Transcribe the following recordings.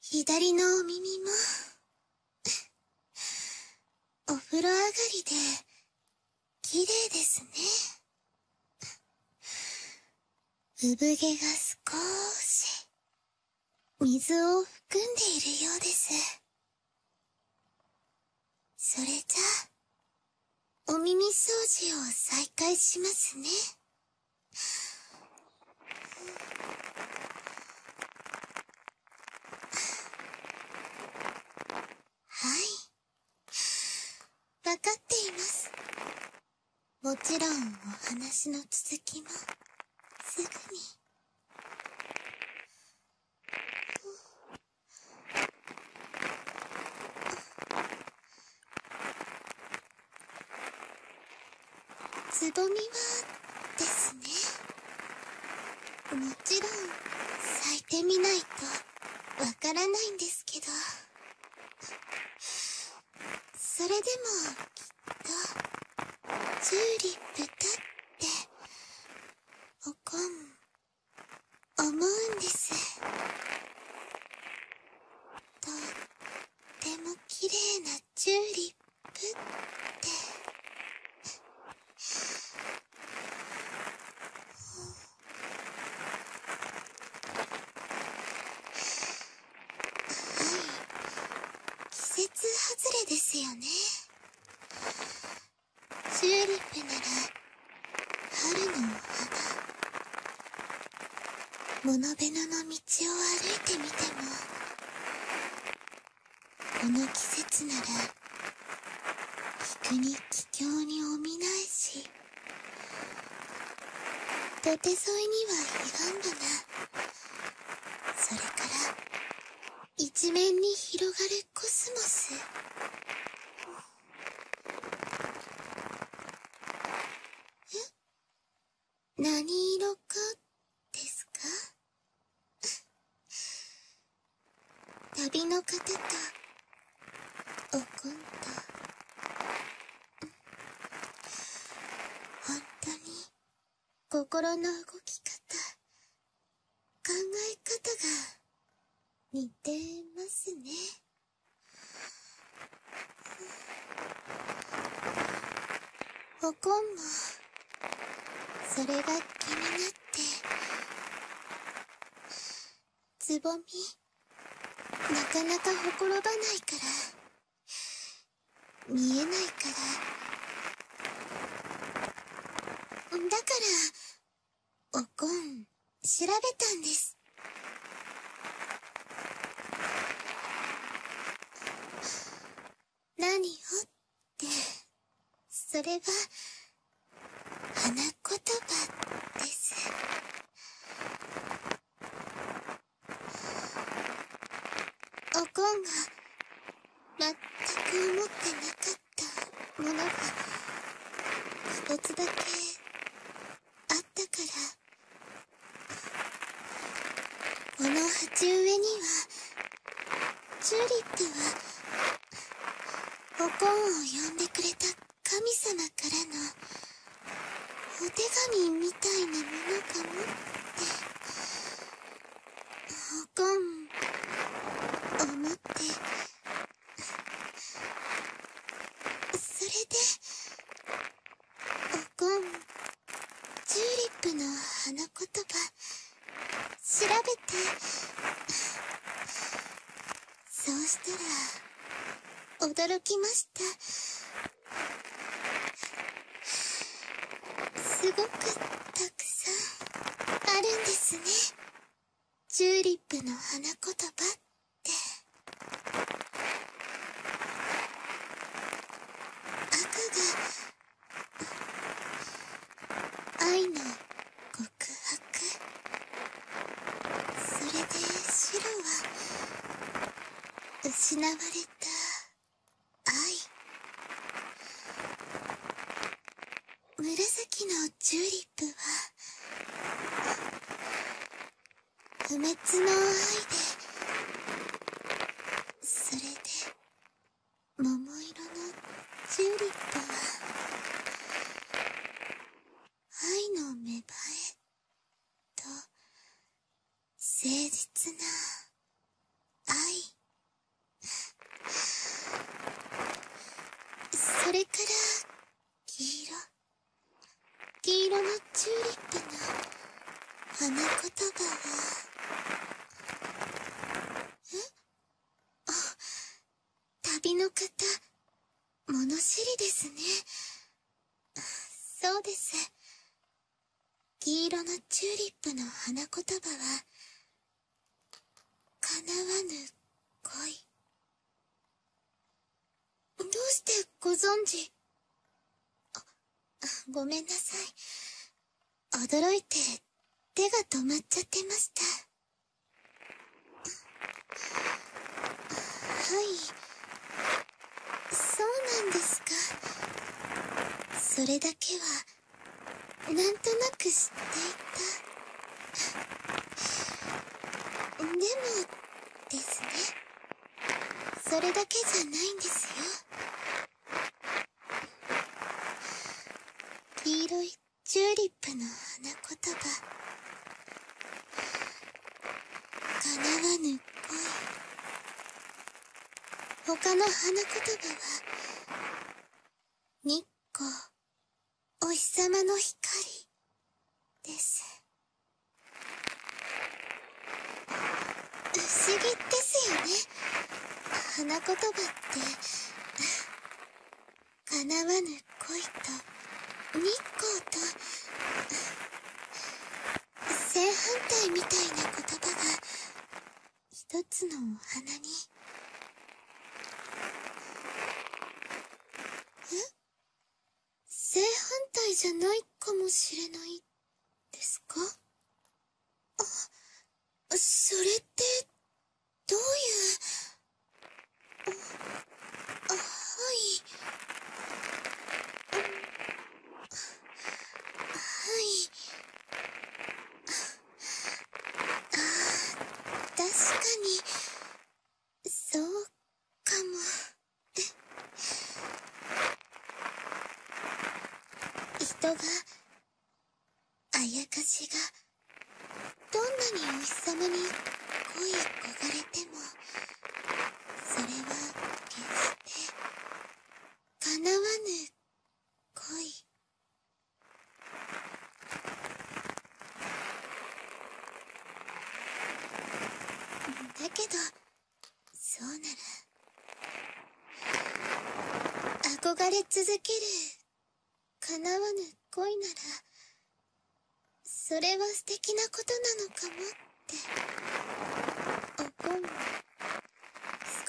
左のお耳も、お風呂上がりで、綺麗ですね。産毛が少し、水を含んでいるようです。それじゃあ、お耳掃除を再開しますね。はいわかっていますもちろんお話の続きもすぐに。つぼみはですねもちろん咲いてみないとわからないんですけどそれでもきっとチューリップだっておこん思うんですとっても綺麗なチューリップってはい季節外れですよねチューリップなら春の花モノベノの道を歩いてみてもこの季節なら陸に桔梗におみないし土手沿いには彼岸花それから一面に広がるコスモスえ何色かですか旅の方と、おこんと…た本当に心の動き方考え方が似てますね。おこんもそれが気になってつぼみなかなかほころばないから見えないからだからおこん調べたんです。何をって、それは、花言葉です。おこんが、全く思ってなかったものが、一つだけあったからこの鉢植えにはチューリップはおこんを呼んでくれた神様からのお手紙みたいなものかもっておこん思って。それでこんチューリップの花言葉調べてそうしたら驚きましたすごくたくさんあるんですねチューリップの花言葉ってバが愛の告白それで白は失われた愛紫のチューリップは不滅の愛でそれで桃色のチューリップは愛の芽生えと誠実な愛それから黄色黄色のチューリップの花言葉はえあ旅の方物知りですねそうです黄色のチューリップの花言葉は叶わぬ恋どうしてご存じ……あ、ごめんなさい。驚いて手が止まっちゃってました。はい。そうなんですか。それだけは、なんとなく知っていた。でも、ですね。それだけじゃないんですよ黄色いチューリップの花言葉叶わぬ恋他の花言葉は日光お日様の光です不思議ですよね花言葉って叶わぬ恋と日光と正反対みたいな言葉が一つのお花にえ正反対じゃないかもしれないですかあ、それって、どういう、あ、い。はい。確かにそうかも。人があやかしがどんなにお日様に恋い焦がれてもそれは決して叶わぬ恋だけどそうなら憧れ続ける叶わぬ恋ならそれは素敵なことなのかもって思う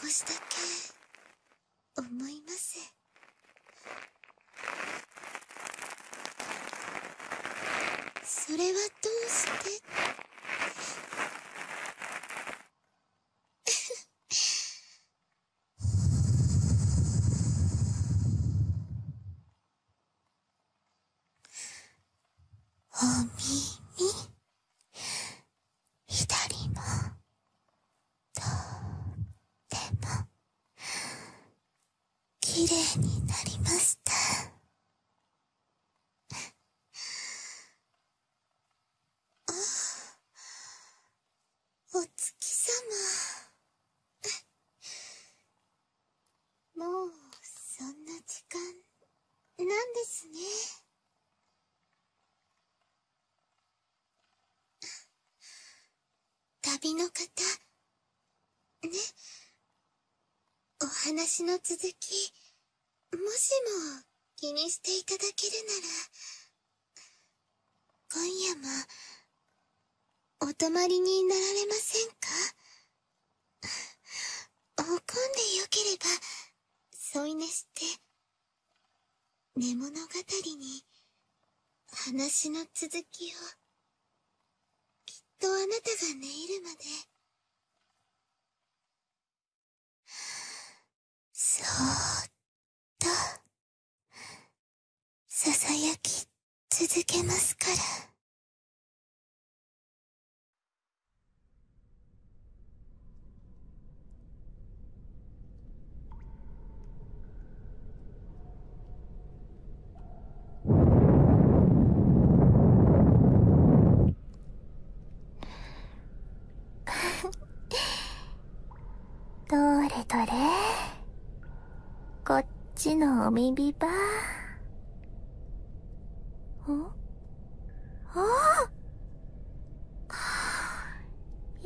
少しだけ思いますそれはどうしてお耳左もとっても綺麗になりましたあお月様もうそんな時間なんですね旅の方ねお話の続き、もしも気にしていただけるなら、今夜も、お泊まりになられませんか怒んでよければ、添い寝して、寝物語に、話の続きを。きっとあなたが寝入るまでそーっとささやき続けますから。どれどれこっちのお耳ばんあ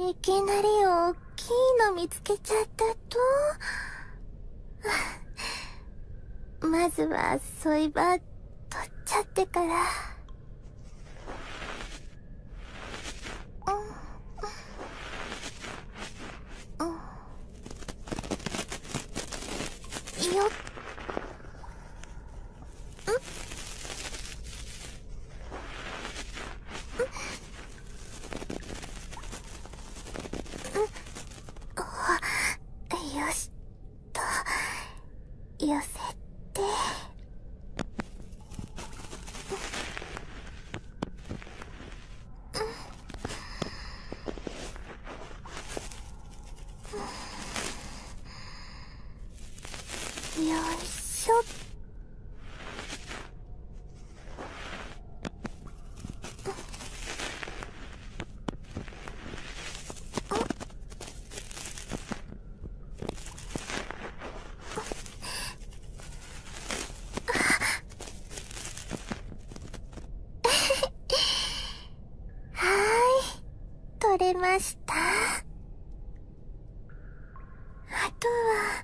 いきなりおっきいの見つけちゃったと まずは、そいば、取っちゃってから。ん。ん。ん。よ。よしと寄せてよいしょっはい、れましたあとは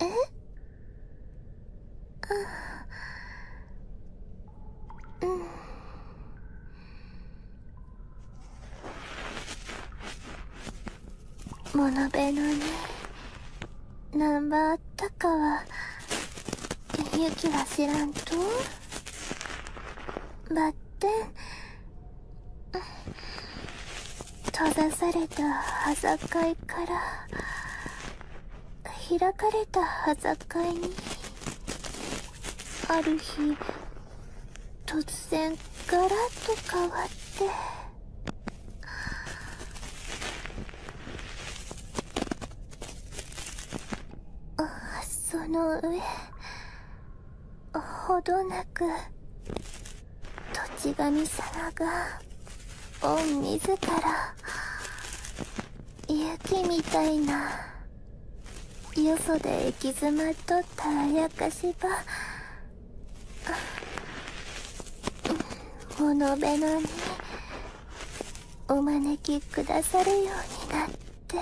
えうん、うん、物部のねナンバーたかはゆきは知らんとばってん閉ざされた端境から開かれた端境にある日突然ガラッと変わって。その上ほどなく土地神様が御自ら雪みたいなよそで行き詰まっとったあやかしばこのべのにお招きくださるようになって。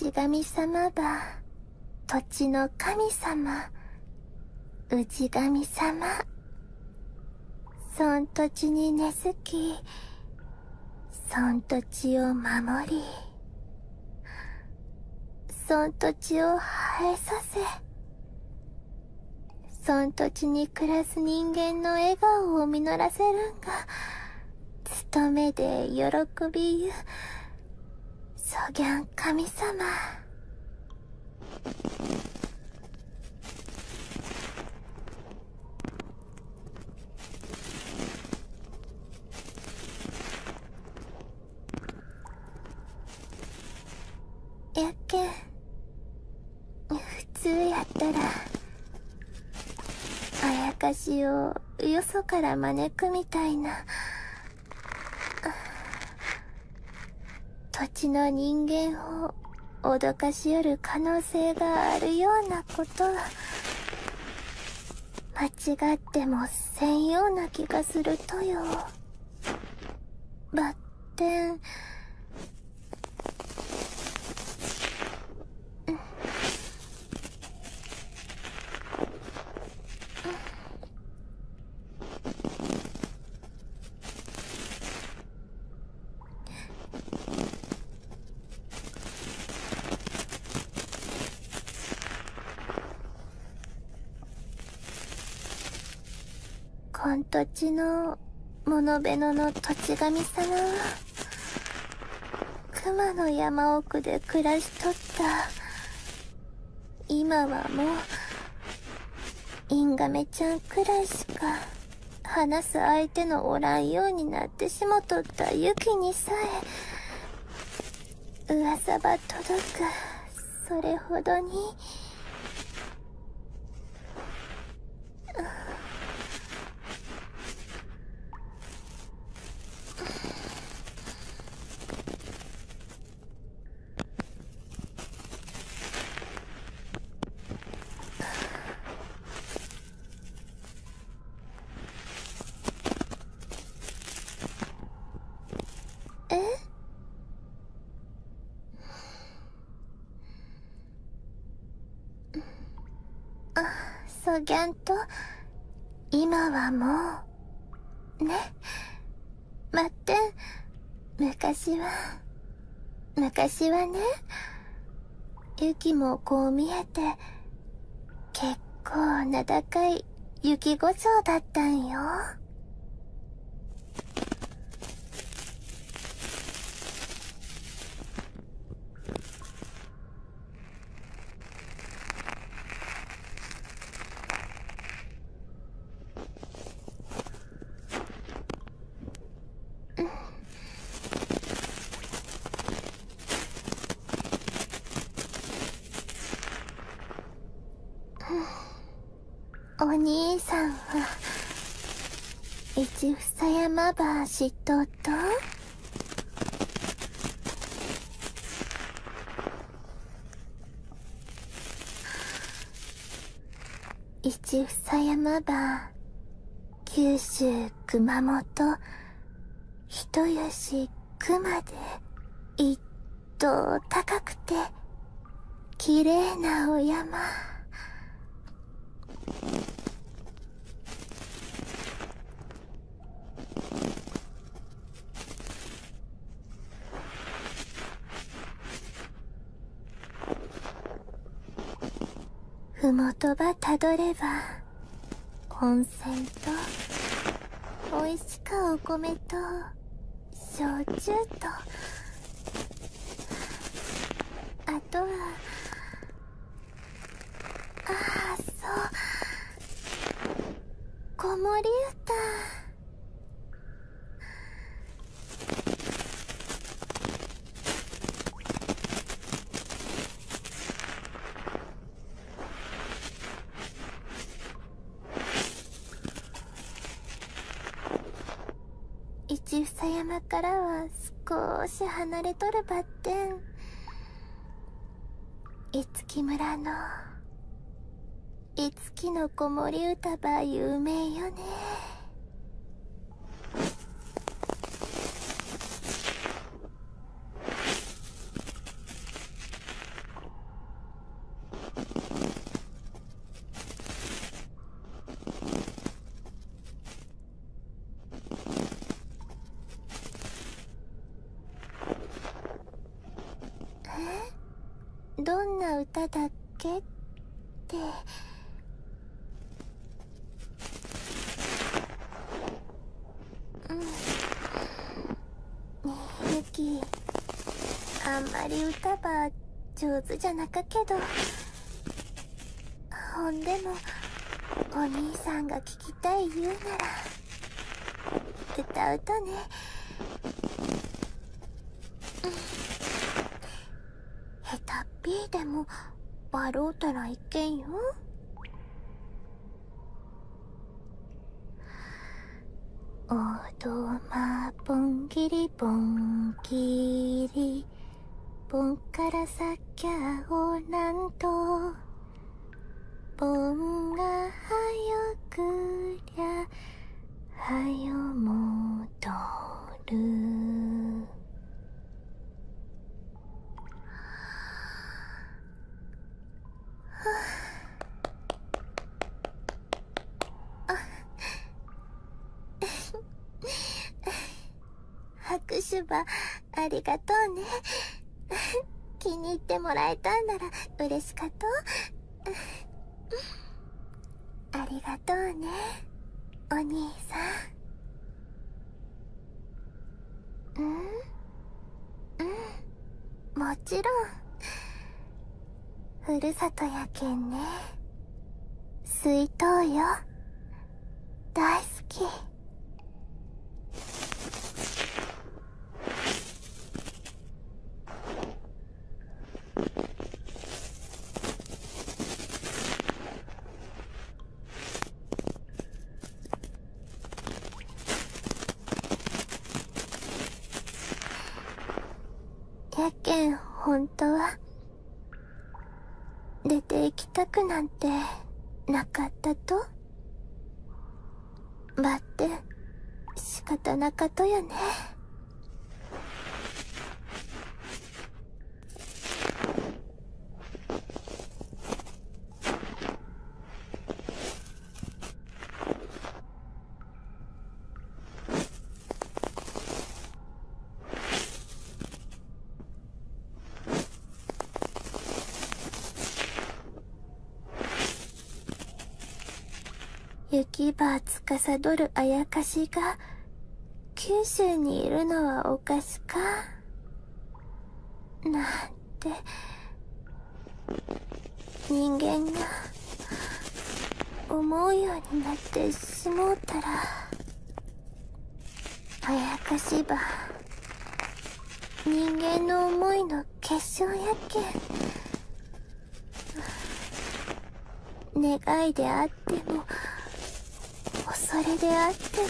土神様だ。土地の神様氏神様そん土地に根付きそん土地を守りそん土地を生えさせそん土地に暮らす人間の笑顔を実らせるんが務めで喜びゆそぎん神様やっけ普通やったらあやかしをよそから真似歩みたいな土地の人間を脅かしよる可能性があるようなことは間違ってもせんような気がするとよばってんこん土地のモノベノの土地神様は熊の山奥で暮らして。返しとった今はもうインガメちゃんくらいしか話す相手のおらんようになってしもとったユキにさえ噂ば届くそれほどに。げと今はもうねまって昔は昔はね雪もこう見えて結構名高い雪五ちだったんよ。お兄さんは一房山ば知っとと一房山ば、九州熊本、人吉熊で、一等高くて、綺麗なお山。ふもとばたどれば温泉とおいしかお米と焼酎とあとはああそう子守歌一房山からは少し離れとるばってん五木村の五木の子守歌ば有名よねえどんな歌だけってうんねえユあんまり歌ば上手じゃなかけどほんでもお兄さんが聞きたい言うなら。歌うとね、下手っぴーでも笑うたらいけんよおどまぼんぎりぼんぎりぼんからさきゃおなんと盆がはよくりゃはよもとる拍手ばありがとうね。気に入ってもらえたんなら嬉しかと。ありがとうね、お兄さん。うんうん、もちろん。ふるさとやけんね。水筒よ。大好き。やけん本当は出て行きたくなんてなかったとばって仕方なかとやね雪ばつかさどるあやかしが、九州にいるのはおかしか。なんて、人間が、思うようになってしもうたら、あやかしば、人間の思いの決勝やけ願いであっても恐れであって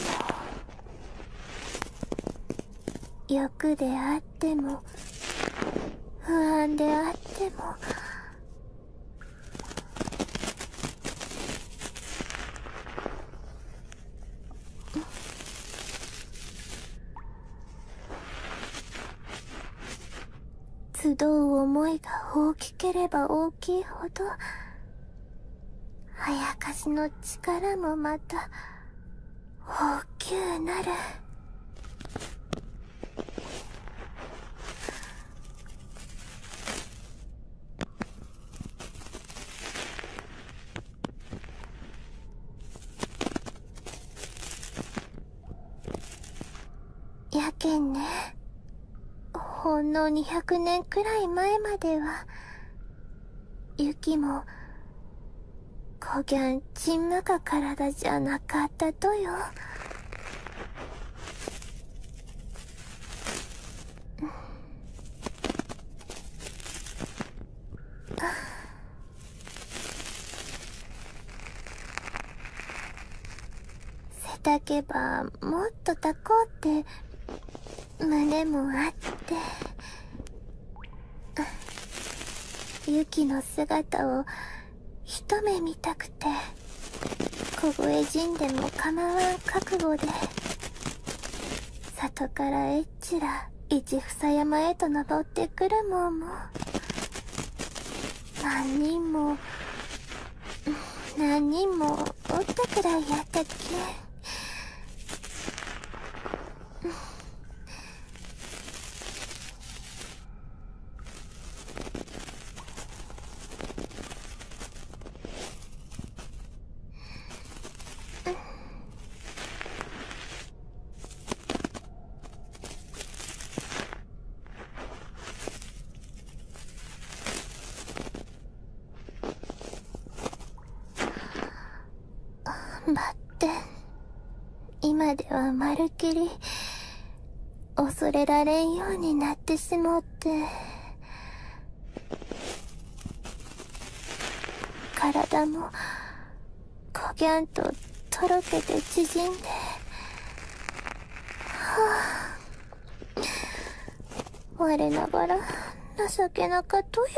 も欲であっても不安であっても集う思いが大きければ大きいほど、あやかしの力もまた、大きゅうなる。やけんねほんの200年くらい前までは雪もこぎゃんちんむか体じゃなかったとよあ背丈ばもっとたこうって胸もあってユキの姿を一目見たくて凍え死んでも構わん覚悟で里からえっちら一房山へと登ってくるもんも何人も何人もおったくらいやったっけうん。バッテン今ではまるっきり恐れられんようになってしもって。体もこぎゃんととろけて縮んで、はぁ、我ながら情けなかとよ。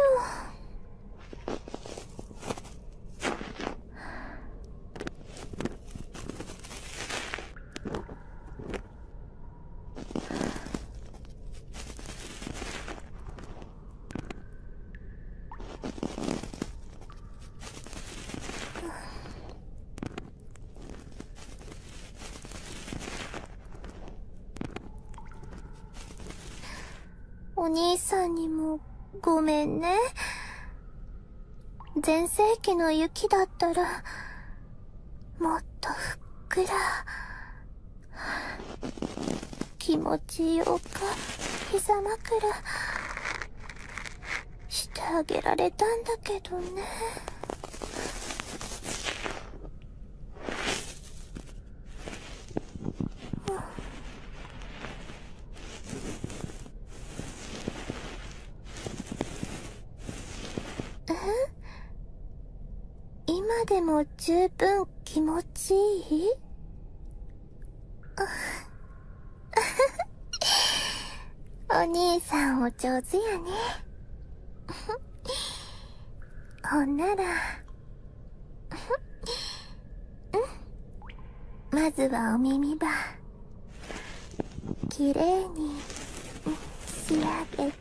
お兄さんにもごめんね。全盛期の雪だったら、もっとふっくら、気持ちよか膝枕してあげられたんだけどね今でも十分気持ちいいあ お兄さんお上手やね。ほんなら、うん。まずはお耳ば、きれいに仕上げて、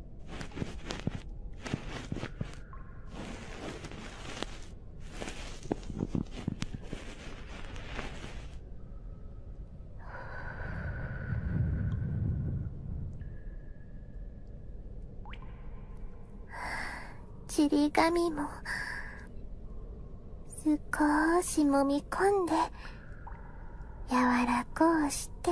はあ、ちり紙も、すこしもみこんで、やわらこうして。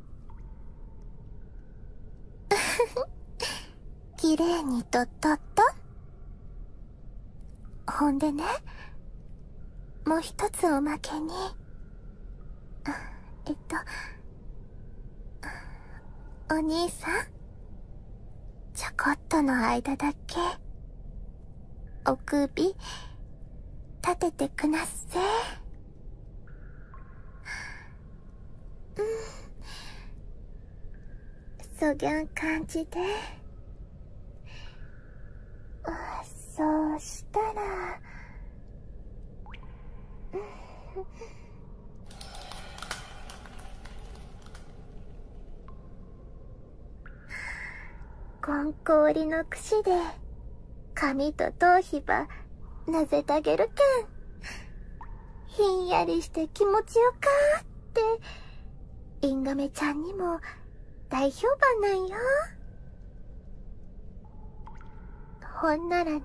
綺麗にとっとっとほんでねもう一つおまけにえっとお兄さんちょこっとの間だけお首立ててくなっせ。うんそぎゃん感じであそうしたら、うん、こんりのくしで髪と頭皮ば、なぜたげるけん。ひんやりして気持ちよかって、インガメちゃんにも大評判なんよ。ほんならね、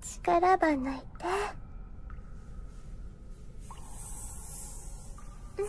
力ばないて。うん。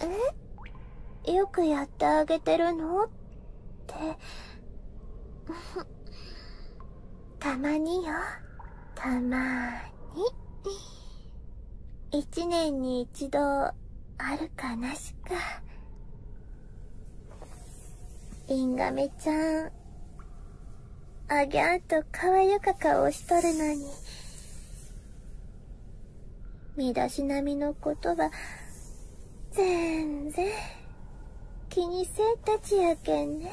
えっよくやってあげてるのってたまによ。たまーに。一年に一度、あるかなしか。インガメちゃん、あげゃーとかわゆか顔しとるのに。身だしなみのことは、ぜんぜん、気にせえたちやけんね。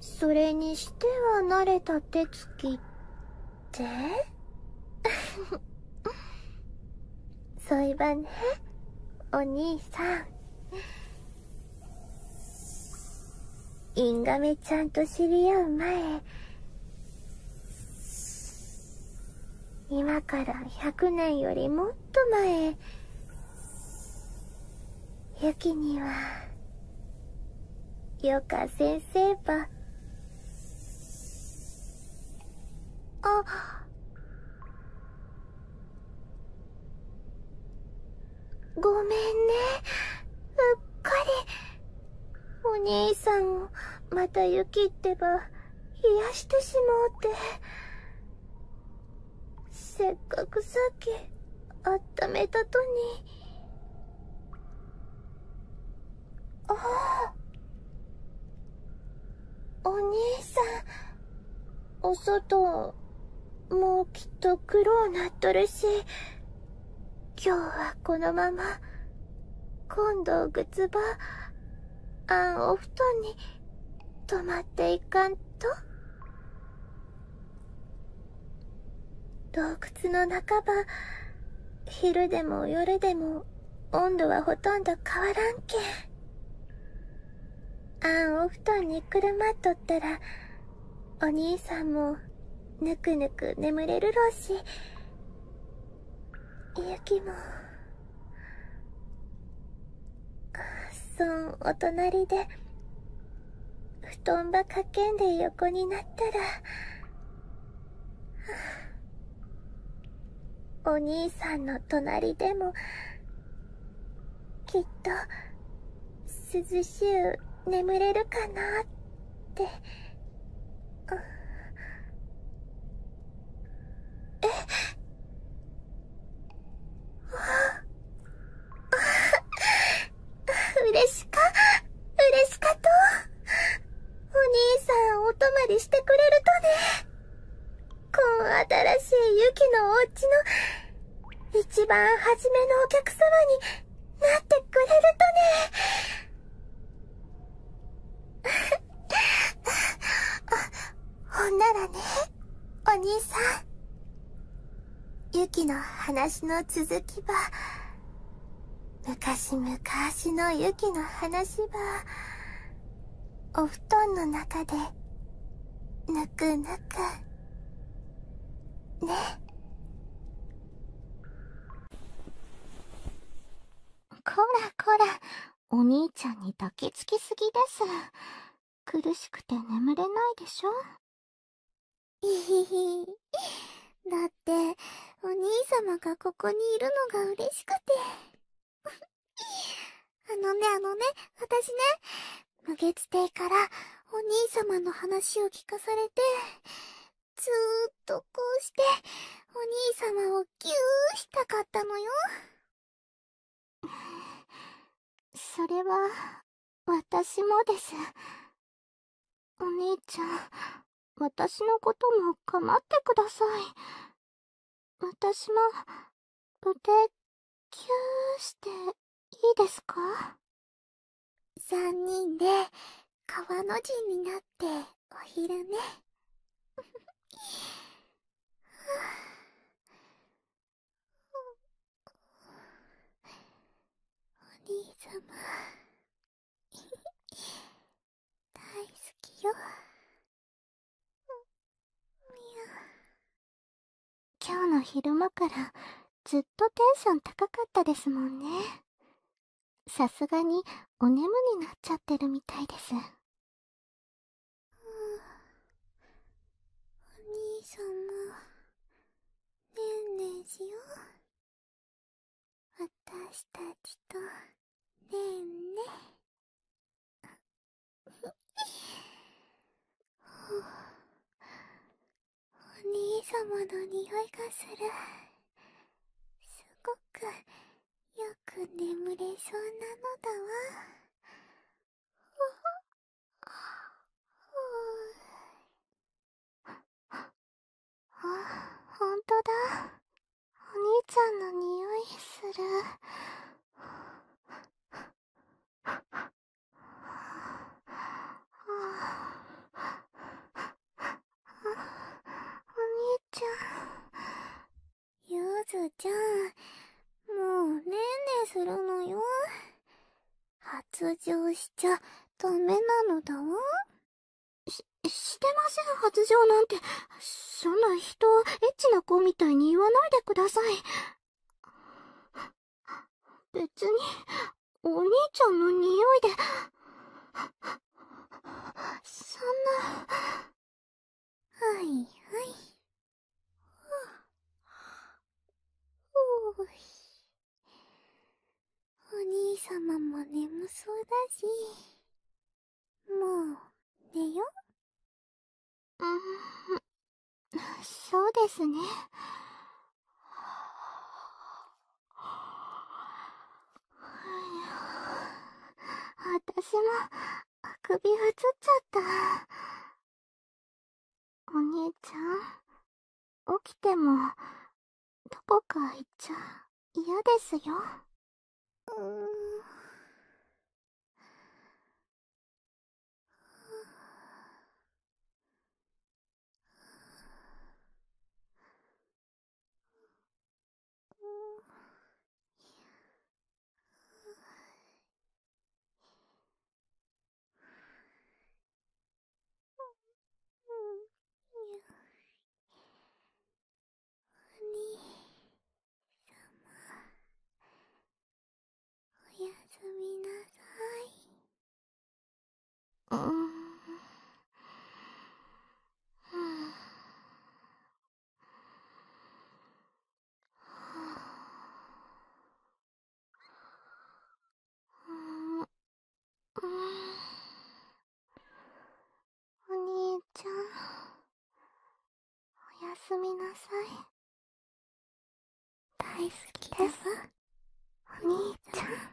それにしては慣れた手つきって そういえばねお兄さんインガメちゃんと知り合う前今から100年よりもっと前ユキにはよか先生ばあごめんねうっかりお兄さんをまた雪ってば冷やしてしもうてせっかくさっきあっためたとに。あお兄さんお外もうきっと苦労なっとるし今日はこのまま今度ぐつばあんお布団に泊まっていかんと洞窟の半ば昼でも夜でも温度はほとんど変わらんけんあんお布団にくるまっとったらお兄さんもぬくぬく眠れるろうしゆきもそんお隣で布団ばかけんでよ。横になったら、お兄さんの隣でも、きっと、涼しゅう眠れるかなって。え 嬉しか、嬉しかと。お兄さんお泊まりしてくれるとね。こん新しいユキのお家の一番初めのお客様になってくれるとね。ほんならね、お兄さん。ユキの話の続きば、昔昔のユキの話ば、お布団の中で、ぬくぬく、ね。こらこら、お兄ちゃんに抱きつきすぎです。苦しくて眠れないでしょいひひ。だって、お兄様がここにいるのが嬉しくて。あのね、あのね、私ね、無月亭からお兄様の話を聞かされて、ずーっとこうして、お兄様をぎゅーしたかったのよ。それは、私もです。お兄ちゃん、私のことも構ってください。私も、腕、キューしていいですか三人で、川の字になって、お昼寝。お兄様 大好きよみや今日の昼間からずっとテンション高かったですもんねさすがにお眠になっちゃってるみたいですお兄様ねんねんしよう。私たちと、ねんね。お兄様の匂いがする。すごく、よく眠れそうなのだわ。あ、ほんとだ。お兄ちゃんの匂いする。お兄ちゃん、ゆずちゃん、もうねんねするのよ。発情しちゃダメなのだわ。し、してません、発情なんて。そんな人をエッチな子みたいに言わないでください。別に、お兄ちゃんの匂いで、そんな、はいはい。ふう、ふうお兄様も眠そうだし。もう、寝よ。うん、そうですね。は私も、あくびがつっちゃった。お兄ちゃん、起きても、どこか行っちゃ嫌ですよ。うーん、おさま……おやすみなさい。ははん。ん……お兄ちゃんおやすみなさい大好きですお兄ちゃん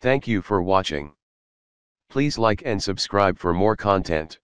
Thank you for watching. Please like and subscribe for more content.